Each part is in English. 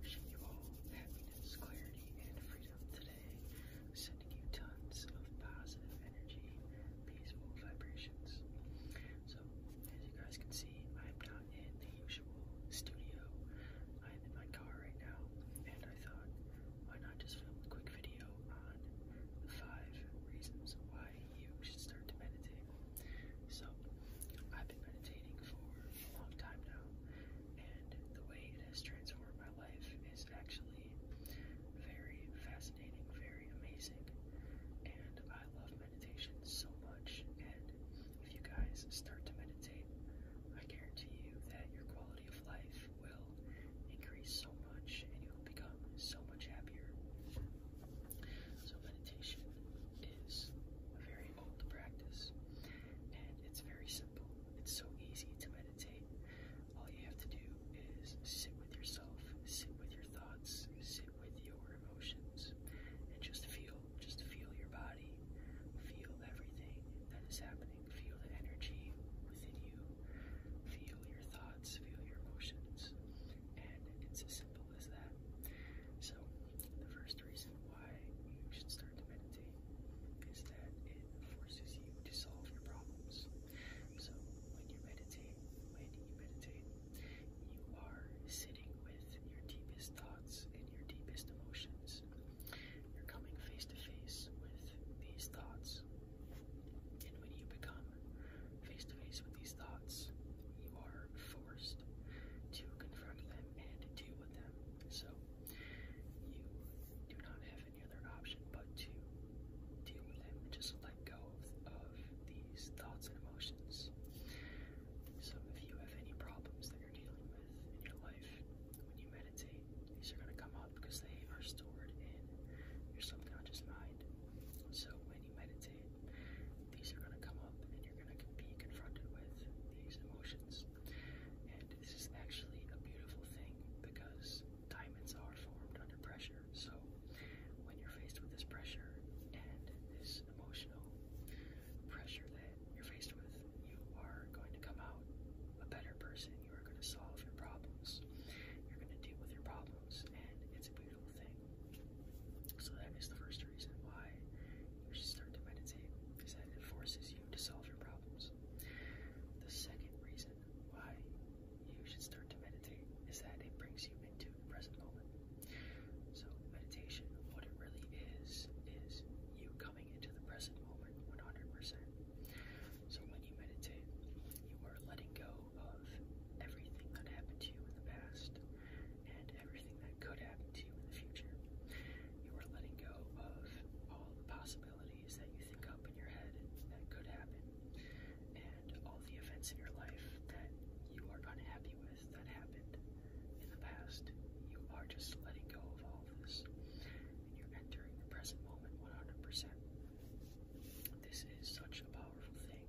Wishing you all happiness, clarity, and freedom today. Sending you tons of positive energy, peaceful vibrations. So, as you guys can see, I'm not in the usual studio. I'm in my car right now, and I thought, why not just film a quick video on the five reasons why you should start to meditate. So, I've been meditating for a long time now, and the way it has transformed my life is actually very fascinating, very amazing. And I love meditation so much. And if you guys start to meditate, I guarantee you that your quality of life will increase so much and you will become so much happier. So meditation is a very old practice and it's very simple. It's so easy to meditate. All you have to do is sit with yourself, sit with your thoughts, sit with your emotions, and just feel, just feel your body, feel everything that is happening, feel the energy within you, feel your thoughts, feel your emotions, and it's a simple simple as that. So, the first reason why you should start to meditate is that it forces you to solve your problems. So, when you meditate, when you meditate, you are sitting with your deepest thoughts and your deepest emotions. You're coming face to face with these thoughts. And when you become face to face with these thoughts, you are forced to confront them and deal with them. So, you do not have any other option but to deal with them and just let go of, of these thoughts and emotions. So, if you have any problems that you're dealing with in your life, when you meditate, these are going to come up because they are stored in your subconscious mind. So, when you meditate, these are going to come up and you're going to be confronted with these emotions. And this is actually a beautiful thing because diamonds are formed under pressure. So when you're faced with this pressure and this emotional pressure that you're faced with, you are going to come out a better person. You are going to solve your problems. You're going to deal with your problems. And it's a beautiful so that is the first reason why you should start to meditate, because that it forces you to solve your problems. The second reason why you should start to meditate is that it brings you into the present moment. So meditation, what it really is, is you coming into the present moment 100%. So when you meditate, you are letting go of everything that happened to you in the past and everything that could happen to you in the future. You are letting go of all the possibilities that you think up in your head that could happen and all the events in your life that you are unhappy with that happened in the past. You are just letting go of all of this and you're entering the present moment 100%. This is such a powerful thing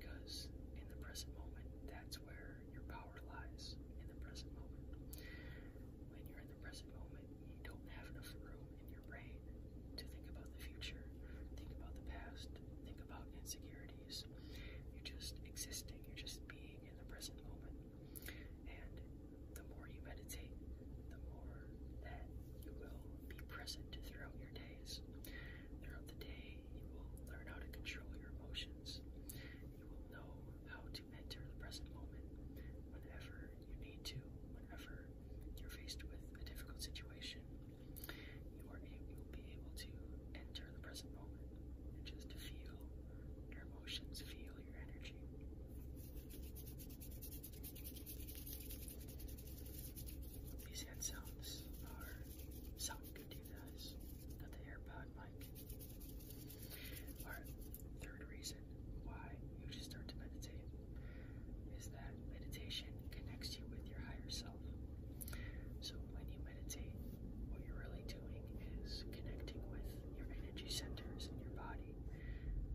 because in the present moment, that's where your power lies. In the present moment, when you're in the present moment, you don't have enough room in your brain to think about the future, think about the past, think about insecurities. You're just existing, you're just being in the present moment. And the more you meditate, the more that you will be present throughout your days. Throughout the day, you will learn how to control your emotions. You will know how to enter the present moment whenever you need to, whenever you're faced with a difficult situation. You are able, you'll be able to enter the present moment and just feel your emotions, feel your energy. These hand sounds are sound good to you guys. Got the AirPod mic. Our third reason why you should start to meditate is that meditation connects you with your higher self. So when you meditate, what you're really doing is connecting with your energy centers in your body,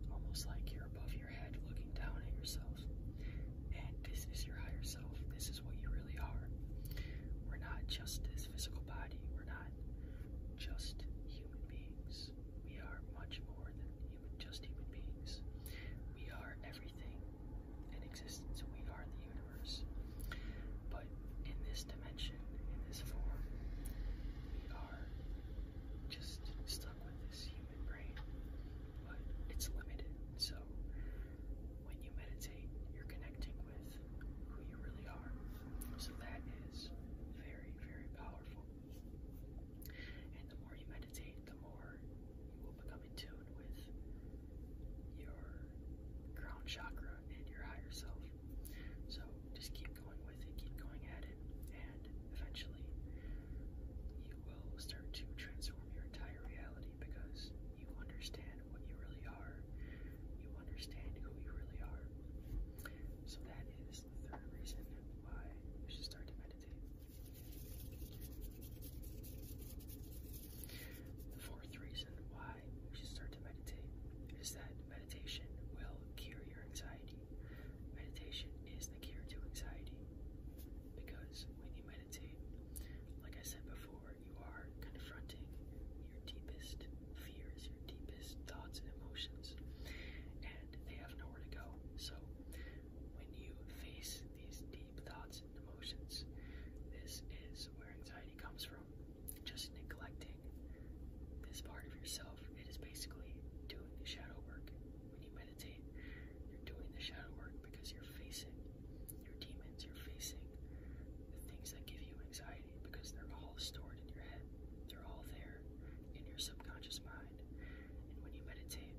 almost like you're above looking down at yourself. And this is your higher self. This is what you really are. We're not just this physical body. We're not just human beings. We are much more than just human beings. We are everything in existence. We are the universe. But in this dimension, in this form, we are just stuck with this human brain, but it's limited. So when you meditate, you're connecting with who you really are. So that is very, very powerful. And the more you meditate, the more you will become in tune with your ground chakra and your higher self. So just keep going with it, keep going at it, and eventually you will start to transform your entire reality because you understand what you really are. You understand who you really are. So that is the third reason why you should start to meditate. The fourth reason why you should start to meditate is that meditation will cure your anxiety. Meditation is the cure to anxiety because when you meditate meditate, like I said before, you are confronting your deepest fears, your deepest thoughts and emotions, and they have nowhere to go. So, when you face these deep thoughts and emotions, this is where anxiety comes from. Just neglecting this part of yourself. It is basically doing the shadow work. When you you're doing the shadow work because you're facing your demons, you're facing the things that give you anxiety because they're all stored in your head. They're all there in your subconscious mind. And when you meditate,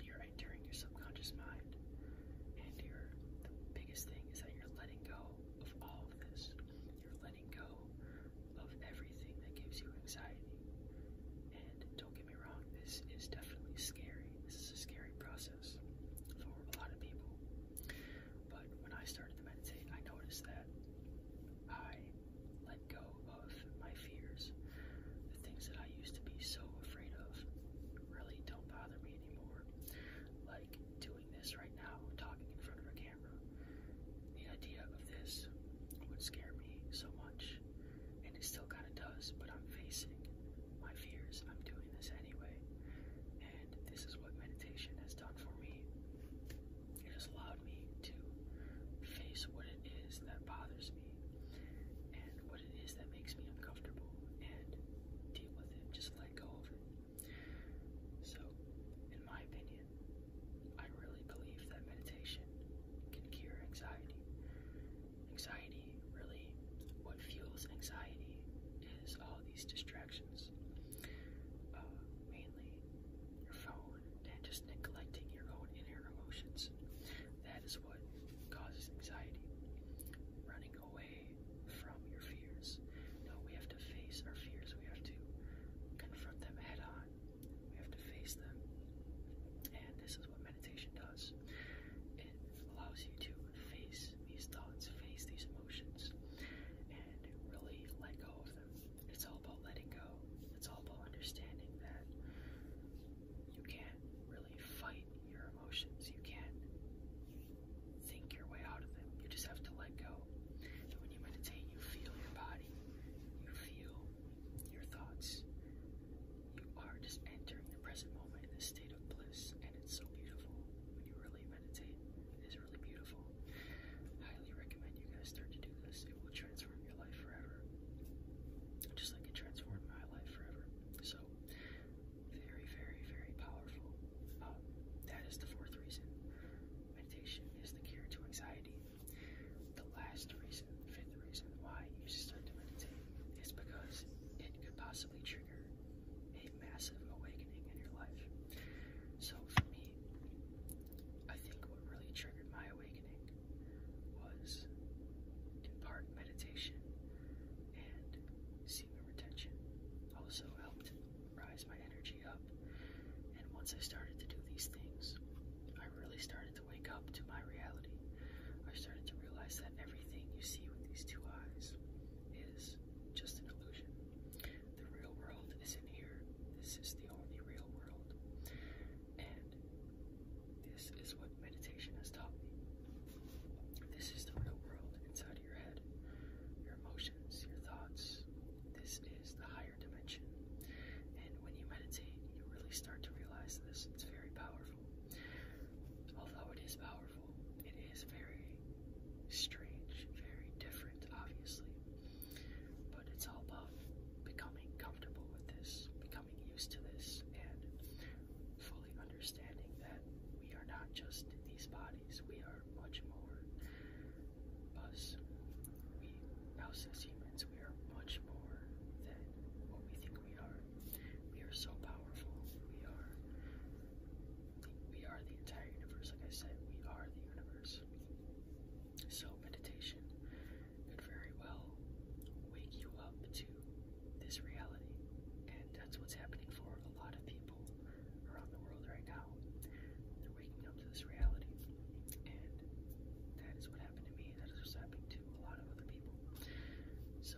you're entering your subconscious mind. And the biggest thing is that you're letting go of all of this. You're letting go of everything that gives you anxiety. And don't get me wrong, this is definitely scary. This is a scary process for a lot of people. But when I started to meditate, I noticed that I let go of my fears. The things that I used to be so afraid of really don't bother me anymore. Like doing this right now, talking in front of a camera. The idea of this would scare me so much and it still kind of does, but I'm facing my fears. I'm doing this anyway. And this is what meditation has done for me. It has allowed me to face what it is that bothers me and what it is that makes me uncomfortable and deal with it, just let go of it. So, in my opinion, I really believe that meditation can cure anxiety. Anxiety, really, what fuels anxiety is all these distractions, uh, mainly your phone and just neglecting your own inner emotions. That is what causes anxiety. Running away from your fears. No, we have to face our fears. We have to confront them head on. We have to face them. And this is what meditation does it allows you to face these thoughts, face these emotions, and really let go of them. It's all about letting go, it's all about understanding that you can't really fight your emotions, you can't think your way out of them. You just have to let go. And when you meditate, you feel your body, you feel your thoughts, you are just entering the present moment in a state of bliss, and it's so beautiful when you really meditate. It is really beautiful. Highly recommend you guys start to do this. It will transform your life forever, just like it transformed my life forever. So, very, very, very powerful. Um, that is the fourth reason. Meditation is the cure to anxiety. The last reason, fifth reason why you should start meditating is because it could possibly trigger a massive awakening in your life. So for me, I think what really triggered my awakening was in part meditation and semen retention also helped rise my energy up. And once I started to do these things, I really started to wake up to my reality. I started to realize that everything you see with these two eyes is just an illusion. The real world is in here. This is the only real world. And this is what meditation has taught me. This is the real world inside of your head, your emotions, your thoughts. This is the higher dimension. And when you meditate, you really start to realize this. It's very powerful. Although it is powerful, it is very strange, very different, obviously. But it's all about becoming comfortable with this, becoming used to this, and fully understanding that we are not just these bodies, we are much more us. We, us as humans, we are much more than what we think we are. We are so powerful. We are we are the entire universe. Like I said, we are the universe. So meditation could very well wake you up to this reality. And that's what's happening for a lot of people around the world right now. They're waking up to this reality. And that is what happened to me. That is what's happening to a lot of other people. So,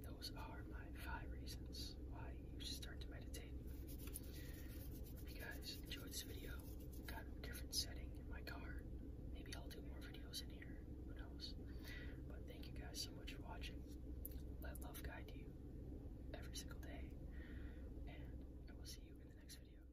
those are my five reasons why you should start to meditate. Hope you guys enjoyed this video. Got a different setting in my car. Maybe I'll do more videos in here. Who knows? But thank you guys so much for watching. Let love guide you every single day. And I will see you in the next video.